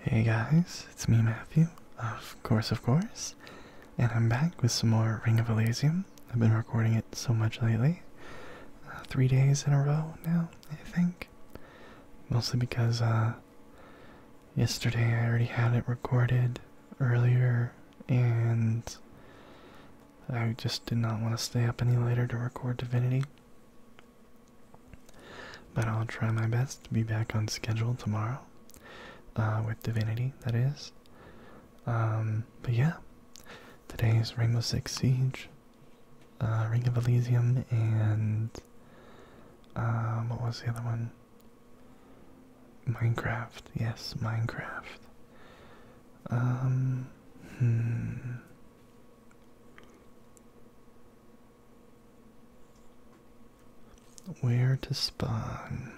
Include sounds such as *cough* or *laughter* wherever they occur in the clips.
Hey guys, it's me Matthew, of course of course, and I'm back with some more Ring of Elysium. I've been recording it so much lately, uh, three days in a row now, I think. Mostly because uh, yesterday I already had it recorded earlier, and I just did not want to stay up any later to record Divinity. But I'll try my best to be back on schedule tomorrow uh, with Divinity, that is. Um, but yeah, today's Rainbow Six Siege, uh, Ring of Elysium, and um, what was the other one? Minecraft. Yes, Minecraft. Um, hmm. Where to spawn?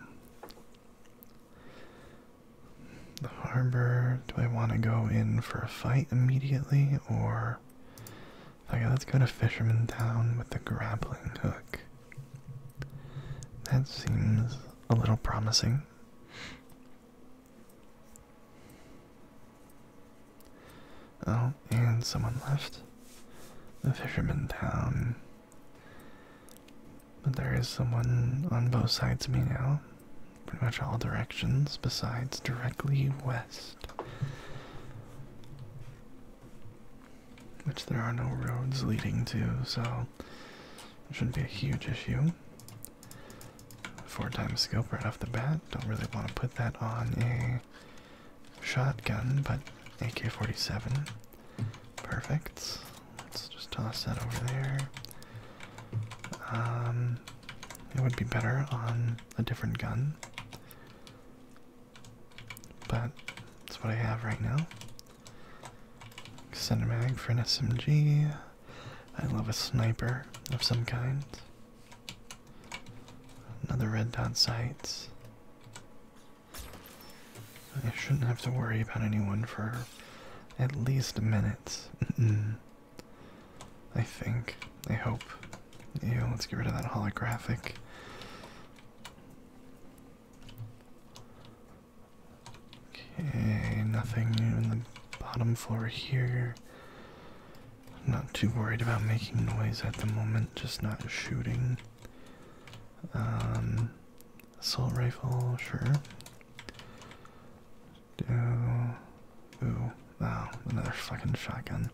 The harbor. Do I want to go in for a fight immediately, or okay, let's go to Fisherman Town with the grappling hook? That seems a little promising. Oh, and someone left the fisherman town. But there is someone on both sides of me now. Pretty much all directions besides directly west. Which there are no roads leading to, so shouldn't be a huge issue. Four times scope right off the bat. Don't really want to put that on a shotgun, but AK-47. Perfect. Let's just toss that over there. Um, it would be better on a different gun, but that's what I have right now. mag for an SMG. I love a sniper of some kind. Another red dot sight. I shouldn't have to worry about anyone for at least a minute. I think. I hope. Yeah, let's get rid of that holographic. Okay, nothing in the bottom floor here. I'm not too worried about making noise at the moment, just not shooting. Um, assault rifle, sure. Do. Ooh, wow, another fucking shotgun.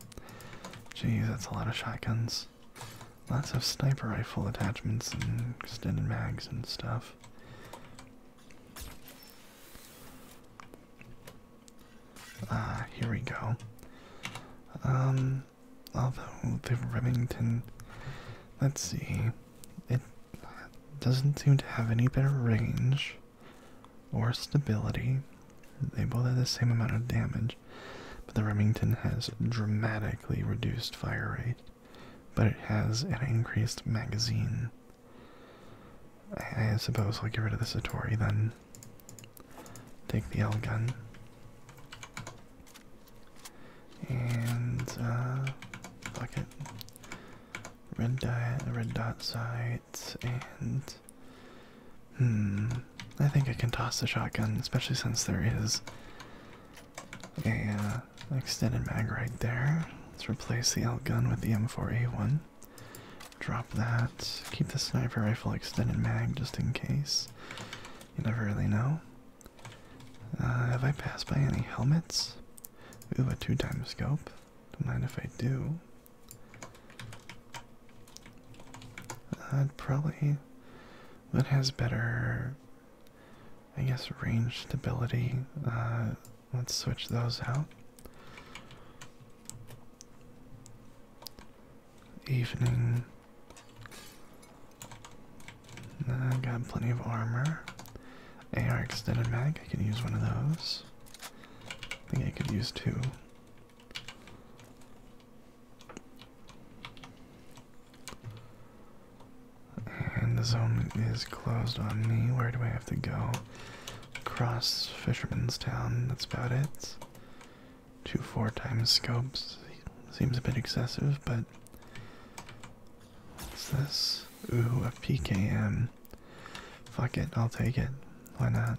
Jeez, that's a lot of shotguns. Lots of sniper rifle attachments and extended mags and stuff. Ah, here we go. Um, although the Remington, let's see, it doesn't seem to have any better range or stability. They both have the same amount of damage, but the Remington has dramatically reduced fire rate, but it has an increased magazine. I, I suppose I'll get rid of the Satori then. Take the L gun. And, uh, fuck it. Red dot, red dot sights, and. Hmm. I think I can toss the shotgun, especially since there is a uh, extended mag right there. Let's replace the L gun with the M4A1. Drop that. Keep the sniper rifle extended mag just in case. You never really know. Uh, have I passed by any helmets? Ooh, a two time scope. Don't mind if I do. I'd probably. What has better. I guess range stability. Uh, let's switch those out evening. I've got plenty of armor. AR extended mag, I can use one of those. I think I could use two. And the zone is closed on me. Where do I have to go? Across Fisherman's Town, that's about it. Two four times scopes seems a bit excessive, but what's this? Ooh, a PKM. Fuck it, I'll take it. Why not?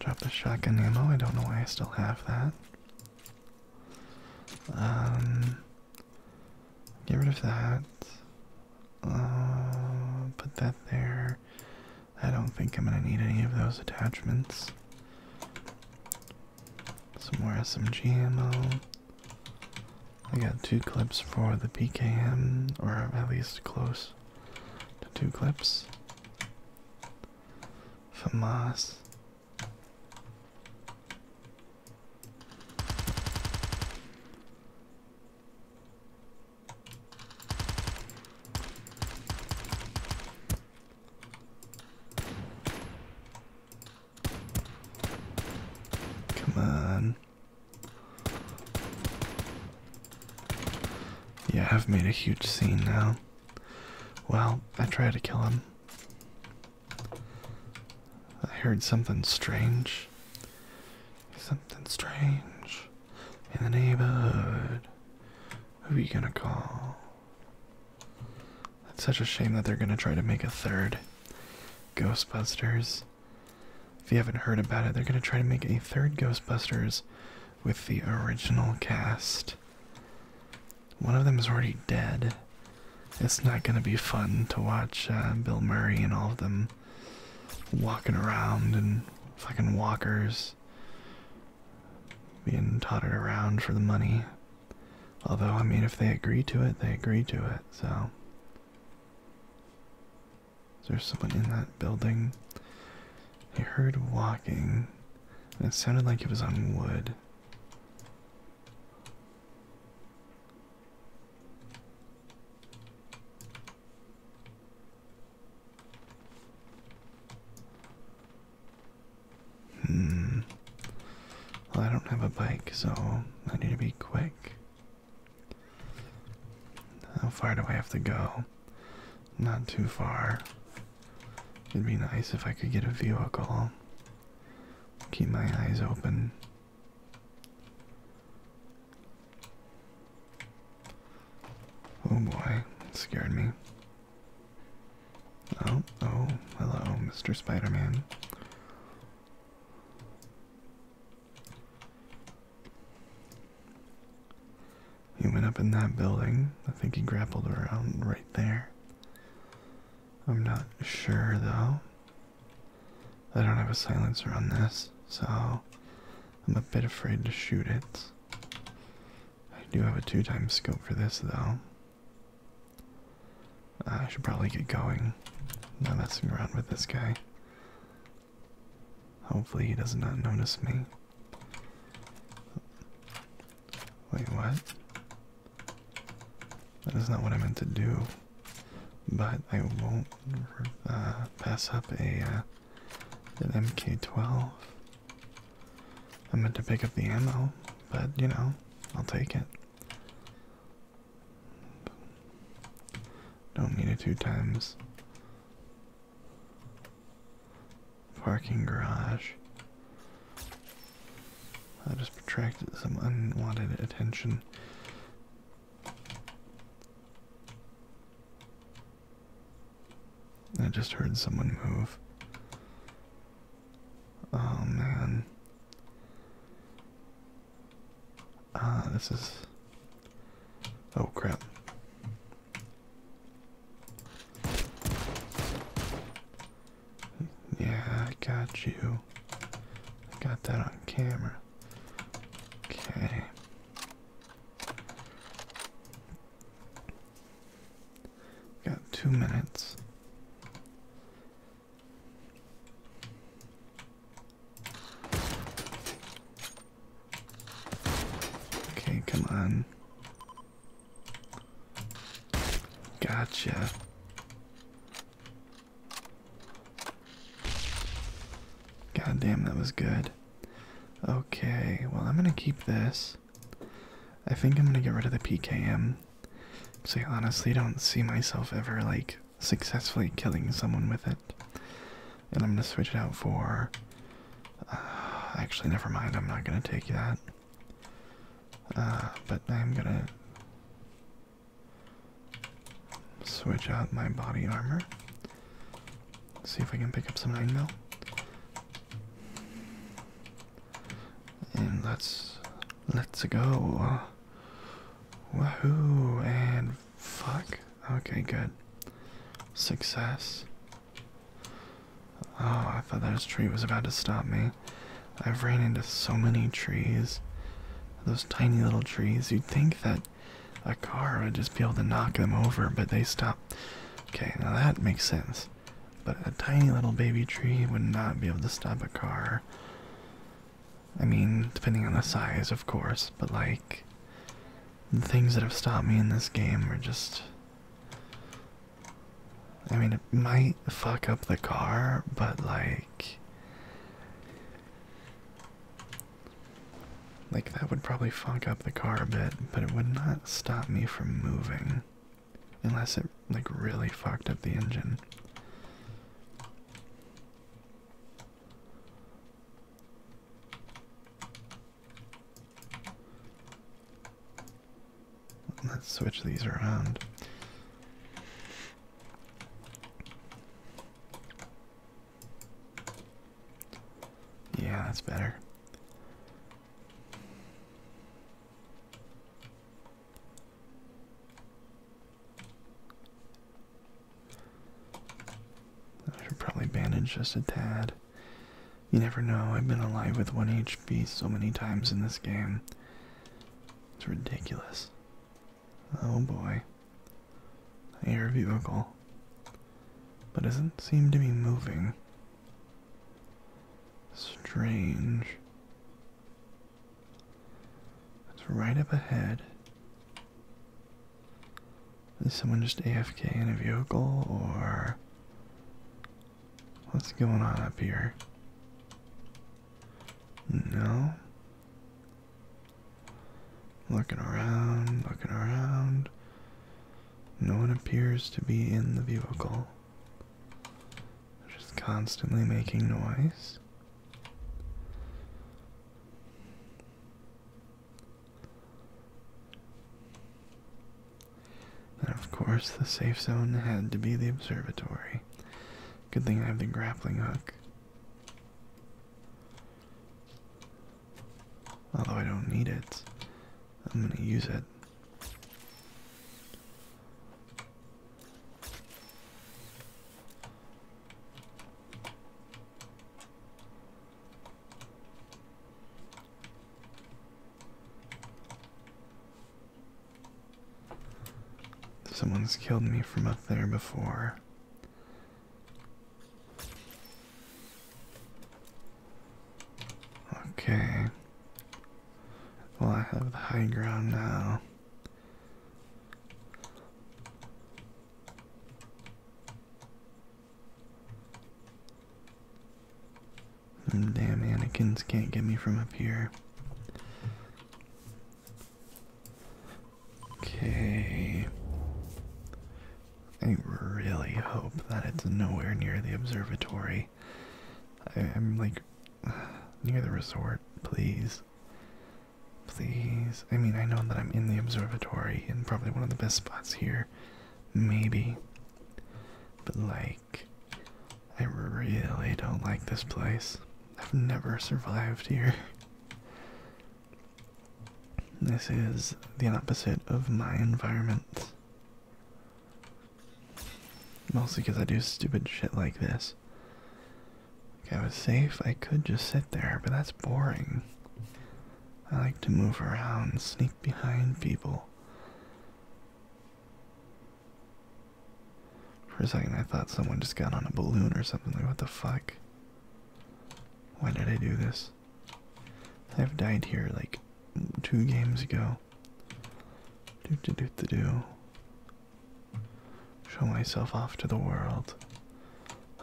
Drop the shotgun ammo. I don't know why I still have that. Um, get rid of that. Uh, put that there. I don't think I'm going to need any of those attachments. Some more SMG ammo. I got two clips for the PKM, or at least close to two clips. FAMAS. Come on. Yeah, I've made a huge scene now. Well, I tried to kill him. I heard something strange. Something strange in the neighborhood. Who are you gonna call? It's such a shame that they're gonna try to make a third Ghostbusters. If you haven't heard about it, they're gonna try to make a third Ghostbusters with the original cast. One of them is already dead. It's not gonna be fun to watch uh, Bill Murray and all of them walking around and fucking walkers being tottered around for the money. Although, I mean, if they agree to it, they agree to it, so. Is there someone in that building? I heard walking, and it sounded like it was on wood. Hmm. Well, I don't have a bike, so I need to be quick. How far do I have to go? Not too far. It'd be nice if I could get a view vehicle. Keep my eyes open. Oh boy, it scared me. Oh, oh, hello, Mr. Spider Man. He went up in that building. I think he grappled around right there. I'm not sure though. I don't have a silencer on this, so I'm a bit afraid to shoot it. I do have a two times scope for this though. Uh, I should probably get going. Now messing around with this guy. Hopefully he does not notice me. Wait, what? That is not what I meant to do. But I won't uh, pass up a uh, an MK12. I meant to pick up the ammo, but you know, I'll take it. Don't need it two times. Parking garage. I just attracted some unwanted attention. I just heard someone move. Oh man. Ah, this is. Oh crap. Yeah, I got you. I got that on camera. Okay. Got two minutes. Okay, come on. Gotcha. God damn, that was good. Okay, well, I'm gonna keep this. I think I'm gonna get rid of the PKM. Because I honestly don't see myself ever like successfully killing someone with it. And I'm gonna switch it out for. Uh, actually, never mind, I'm not gonna take that. Uh, but I'm gonna switch out my body armor Let's see if we can pick up some 9 mil. And let's let's go. Wahoo! And fuck. Okay, good. Success. Oh, I thought that tree was about to stop me. I've ran into so many trees. Those tiny little trees. You'd think that a car would just be able to knock them over, but they stop. Okay, now that makes sense but a tiny little baby tree would not be able to stop a car. I mean, depending on the size, of course, but like, the things that have stopped me in this game are just. I mean, it might fuck up the car, but like. Like, that would probably fuck up the car a bit, but it would not stop me from moving unless it like really fucked up the engine. Let's switch these around. Yeah, that's better. I should probably bandage just a tad. You never know, I've been alive with 1 HP so many times in this game. It's ridiculous. Oh boy. Air vehicle. But doesn't seem to be moving. Strange. It's right up ahead. Is someone just AFK in a vehicle or what's going on up here? No. Looking around, looking around. No one appears to be in the vehicle. just constantly making noise. And of course, the safe zone had to be the observatory. Good thing I have the grappling hook. Although I don't need it, I'm gonna use it Someone's killed me from up there before. Okay. Well, I have the high ground now. damn Anakin's can't get me from up here. Okay. I really hope that it's nowhere near the observatory. I, I'm like near the resort, please. Please. I mean, I know that I'm in the observatory and probably one of the best spots here. Maybe. But, like, I really don't like this place. I've never survived here. This is the opposite of my environment. Mostly because I do stupid shit like this. Okay, I was safe. I could just sit there, but that's boring. I like to move around, sneak behind people. For a second, I thought someone just got on a balloon or something. Like, what the fuck? Why did I do this? I've died here like two games ago. Do do do do Show myself off to the world.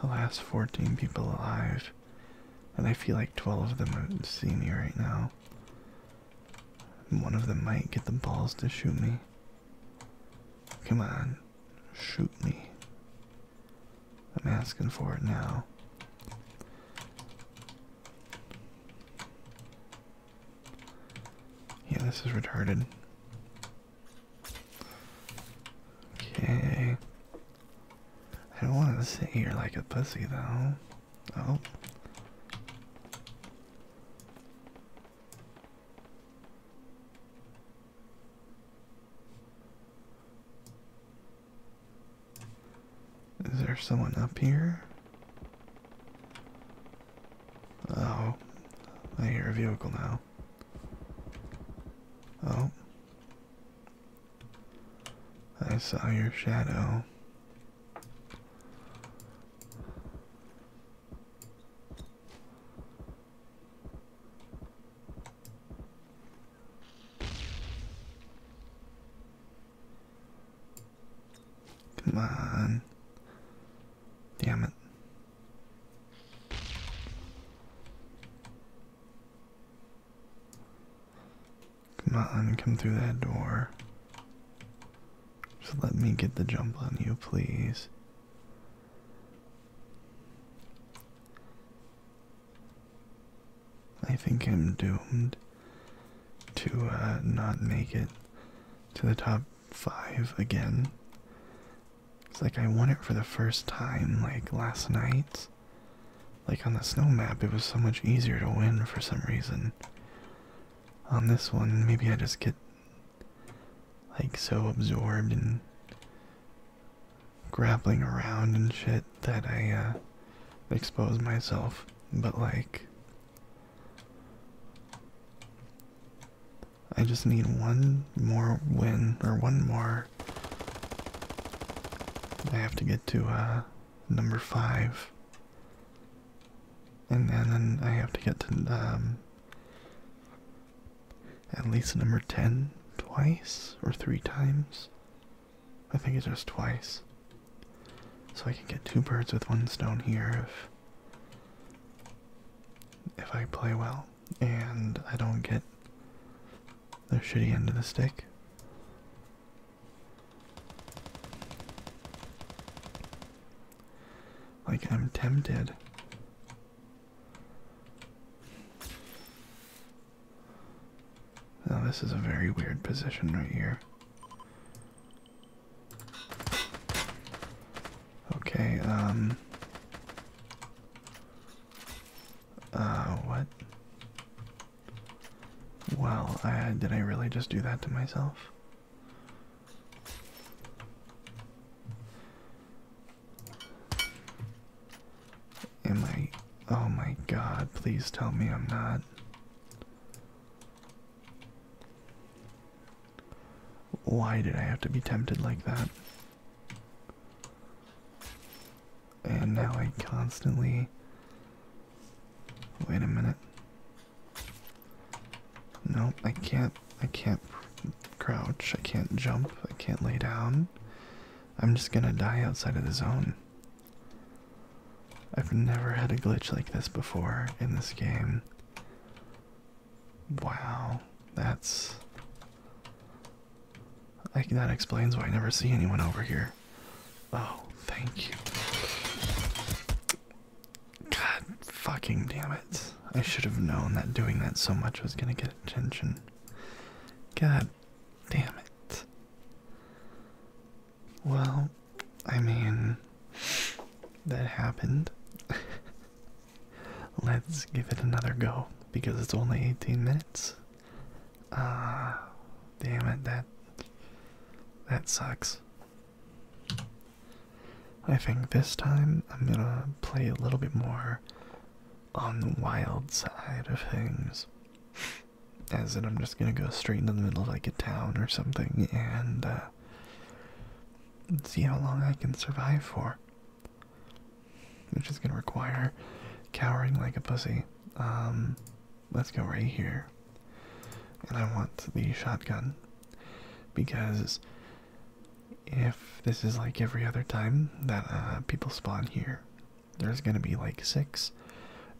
The last 14 people alive. And I feel like 12 of them would see me right now. one of them might get the balls to shoot me. Come on, shoot me. I'm asking for it now. Yeah, this is retarded. Okay. I don't want to sit here like a pussy, though. Oh. Is there someone up here? Oh, I hear a vehicle now. Oh, I saw your shadow. Come on. Damn it. Come on, come through that door. Just let me get the jump on you, please. I think I'm doomed to uh, not make it to the top five again. It's like I won it for the first time, like last night. Like on the snow map, it was so much easier to win for some reason. On this one, maybe I just get like so absorbed in grappling around and shit that I uh, expose myself. But like, I just need one more win or one more. I have to get to uh, number five, and then, I have to get to um, at least number ten twice or three times. I think it's just twice. So I can get two birds with one stone here if if I play well and I don't get the shitty end of the stick. Like I'm tempted. Now this is a very weird position right here. Okay, um. Uh, what? Well, did I really just do that to myself? Am I. Oh my god, please tell me I'm not. Why did I have to be tempted like that? And now I constantly. Wait a minute. No, I can't. I can't crouch. I can't jump. I can't lay down. I'm just gonna die outside of the zone. I've never had a glitch like this before in this game. Wow, that's. I, that explains why I never see anyone over here. Oh, thank you. God fucking damn it. I should have known that doing that so much was gonna get attention. God damn it. Well, I mean, that happened. *laughs* Let's give it another go because it's only 18 minutes. Ah, damn it, that that sucks. I think this time I'm gonna play a little bit more on the wild side of things. As in, I'm just gonna go straight into the middle of like a town or something and uh, uh, see how long I can survive for. Which is going to require cowering like a pussy. Um, let's go right here. And I want the shotgun. Because if this is like every other time that uh, people spawn here, there's going to be like six,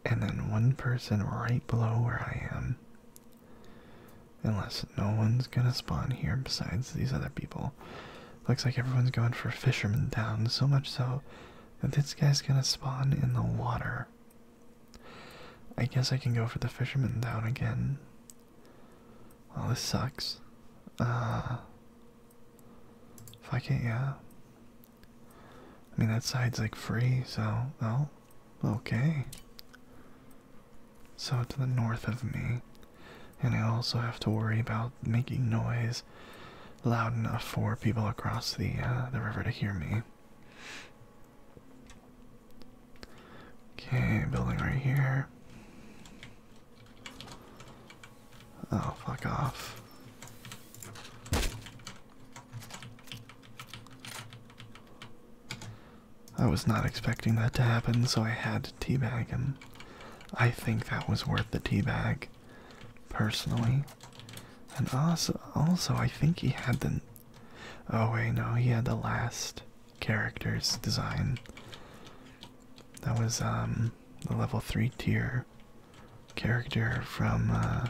and then one person right below where I am. Unless no one's gonna spawn here besides these other people. Looks like everyone's going for Fisherman Town, so much so that this guy's gonna spawn in the water. I guess I can go for the Fisherman Town again. Well, this sucks. Uh, fuck it, yeah. I mean, that side's like free, so, well, Okay. So to the north of me. And I also have to worry about making noise loud enough for people across the uh, the river to hear me. Okay, building right here. Oh, fuck off. I was not expecting that to happen, so I had to teabag him. I think that was worth the teabag, personally. And also, also, I think he had the. Oh wait, no, he had the last character's design. That was um the level three tier character from uh,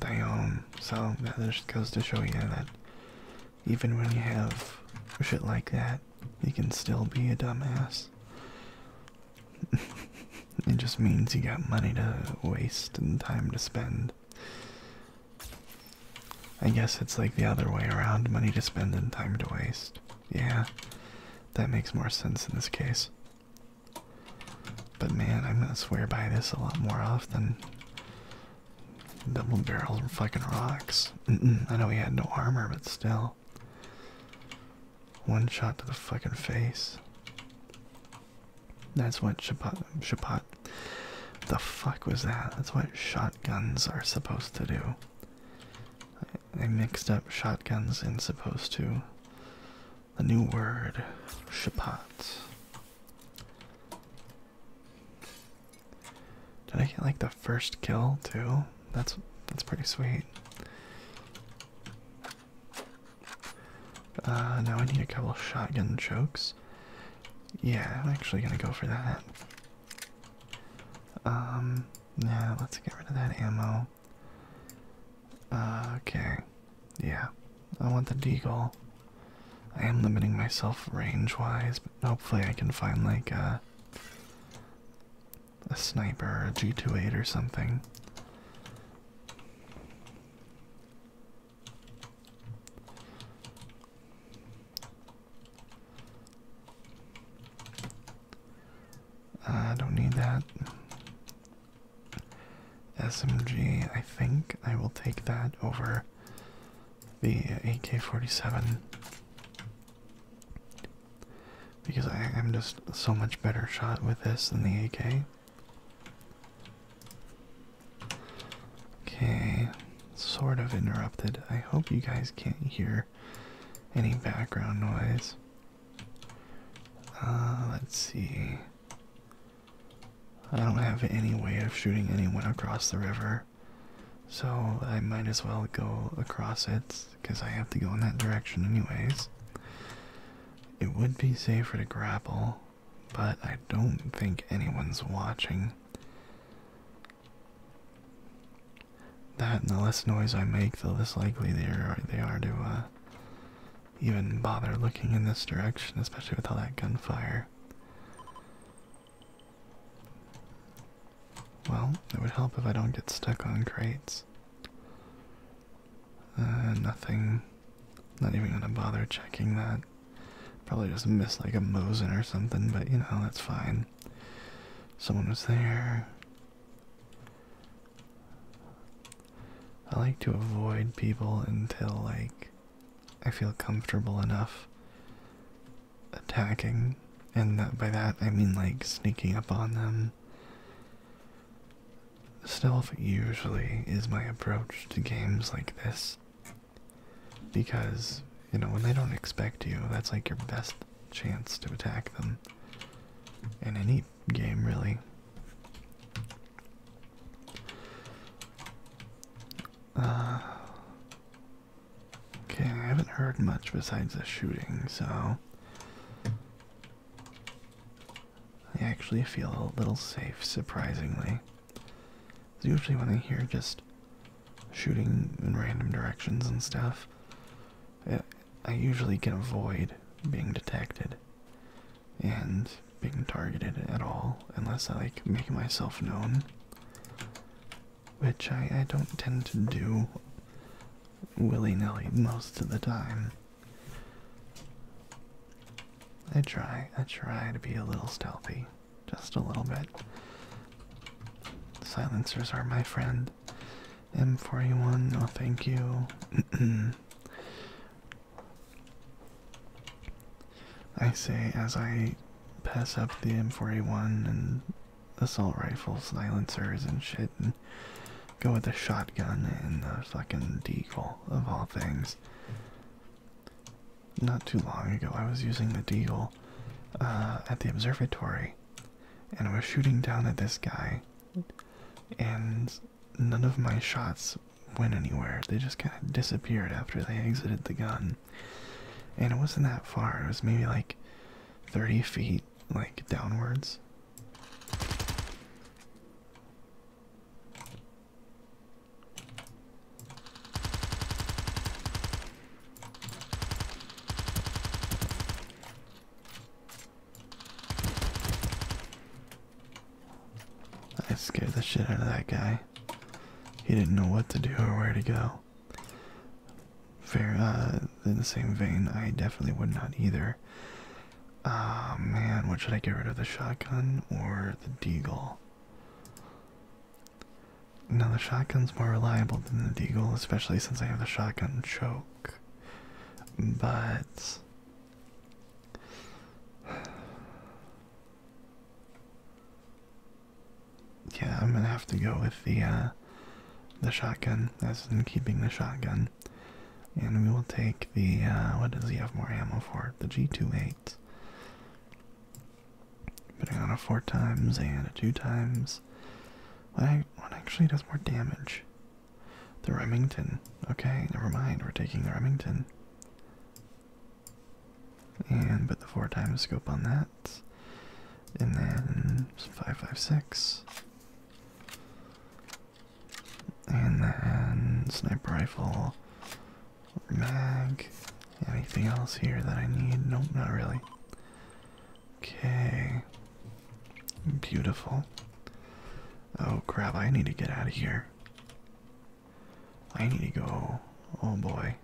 they own. Um, so that just goes to show you that even when you have shit like that, you can still be a dumbass. *laughs* it just means you got money to waste and time to spend. I guess it's like the other way around money to spend and time to waste. Yeah, that makes more sense in this case. But man, I'm gonna swear by this a lot more often. Double barrels fucking rocks. I know he had no armor, but still. One shot to the fucking face. That's what Shapot, the fuck was that? That's what shotguns are supposed to do. I, mixed up shotguns and supposed to. A new word, Shapot. Did I get like the first kill too? That's that's pretty sweet. Uh, now I need a couple shotgun chokes. Yeah, I'm actually gonna go for that. Um, yeah, let's get rid of that ammo. Uh, okay. Yeah, I want the deagle. I am limiting myself range-wise, but hopefully I can find like a sniper a G28 or something. Uh, I don't need that. SMG. I think I will take that over the AK-47 because I am just so much better shot with this than the AK. Okay, sort of interrupted. I hope you guys can't hear any background noise. Uh, let's see. I don't have any way of shooting anyone across the river, so I might as well go across it because I have to go in that direction, anyways. It would be safer to grapple, but I don't think anyone's watching. That and the less noise I make, the less likely they are, they are to uh, even bother looking in this direction, especially with all that gunfire. Well, it would help if I don't get stuck on crates. Uh, nothing. Not even gonna bother checking that. Probably just missed like a mosen or something, but you know, that's fine. Someone was there. I like to avoid people until like I feel comfortable enough attacking, and by that I mean like sneaking up on them. Stealth usually is my approach to games like this because, you know, when they don't expect you, that's like your best chance to attack them in any game, really. Uh, okay, I haven't heard much besides the shooting, so I actually feel a little safe, surprisingly. Usually, when I hear just shooting in random directions and stuff, I usually can avoid being detected. And being targeted at all unless I like make myself known, which I, I don't tend to do willy nilly most of the time. I try, I try to be a little stealthy, just a little bit. Silencers are my friend. M41, no thank you. *clears throat* I say as I pass up the M4A1 and assault rifle silencers and shit and go with the shotgun and the fucking deagle of all things. Not too long ago, I was using the deagle uh, at the observatory and I was shooting down at this guy, and none of my shots went anywhere. They just kind of disappeared after they exited the gun. And it wasn't that far. It was maybe like 30 feet, like downwards. I scared the shit out of that guy. He didn't know what to do or where to go. Fair, uh, in the same vein, I definitely would not either. Ah, man, what should I get rid of? The shotgun or the deagle? Now, the shotgun's more reliable than the deagle, especially since I have the shotgun choke. But. Yeah, I'm gonna have to go with the uh, the shotgun. That's in keeping the shotgun, and we will take the uh, what does he have more ammo for? The G28. Putting on a four times and a two times. What actually does more damage? The Remington. Okay, never mind. We're taking the Remington. And put the four times scope on that. And then five five six. And then sniper rifle, mag, anything else here that I need? Nope, not really. Okay. Beautiful. Oh crap, I need to get out of here. I need to go. Oh boy.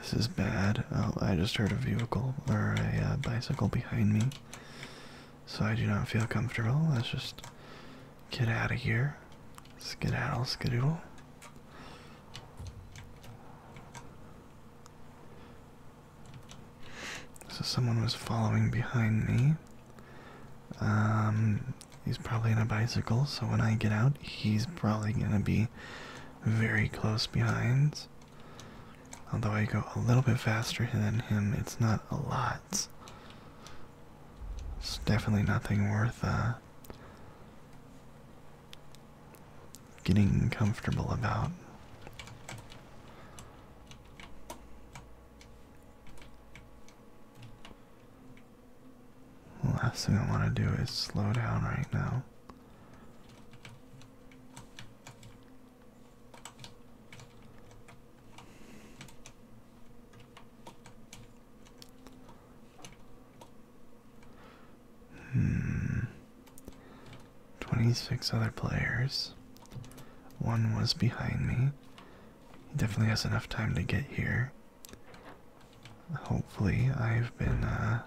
This is bad. Oh, I just heard a vehicle or a uh, bicycle behind me. So I do not feel comfortable. Let's just get out of here. Skedaddle, skadoodle. So someone was following behind me. Um, he's probably on a bicycle, so when I get out, he's probably gonna be very close behind. Although I go a little bit faster than him, it's not a lot. It's definitely nothing worth uh, getting comfortable about. The last thing I want to do is slow down right now. Hmm. 26 other players. One was behind me. He definitely has enough time to get here. Hopefully, I've been uh,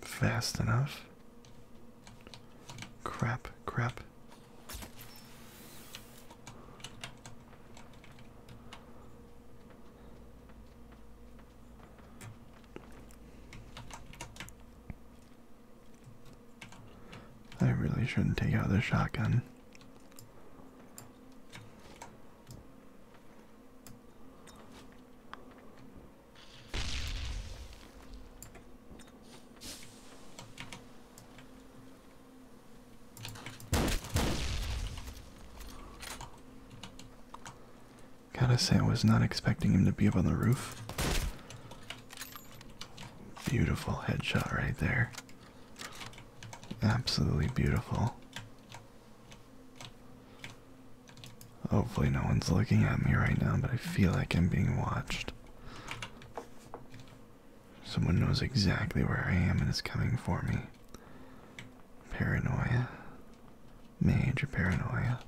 fast enough. Crap, crap. I really shouldn't take out the shotgun. Gotta say, I was not expecting him to be up on the roof. Beautiful headshot right there. Absolutely beautiful. Hopefully, no one's looking at me right now, but I feel like I'm being watched. Someone knows exactly where I am and is coming for me. Paranoia. Major paranoia.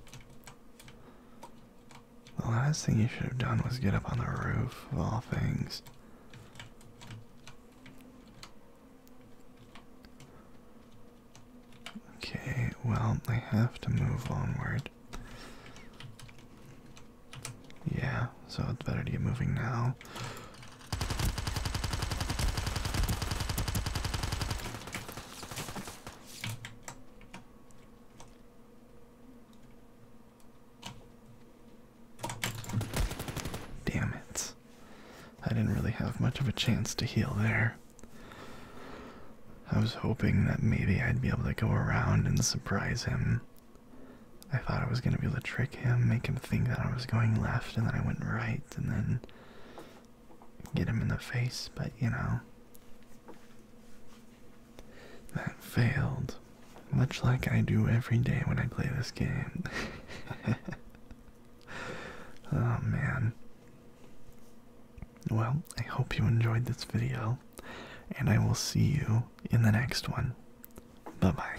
The last thing you should have done was get up on the roof, of all things. Okay, well, I have to move onward. Yeah, so it's better to get moving now. Damn it. I didn't really have much of a chance to heal there. I was hoping that maybe I'd be able to go around and surprise him. I thought I was going to be able to trick him, make him think that I was going left, and then I went right, and then get him in the face, but you know. That failed. Much like I do every day when I play this game. *laughs* oh man. Well, I hope you enjoyed this video, and I will see you in the next one. Bye bye.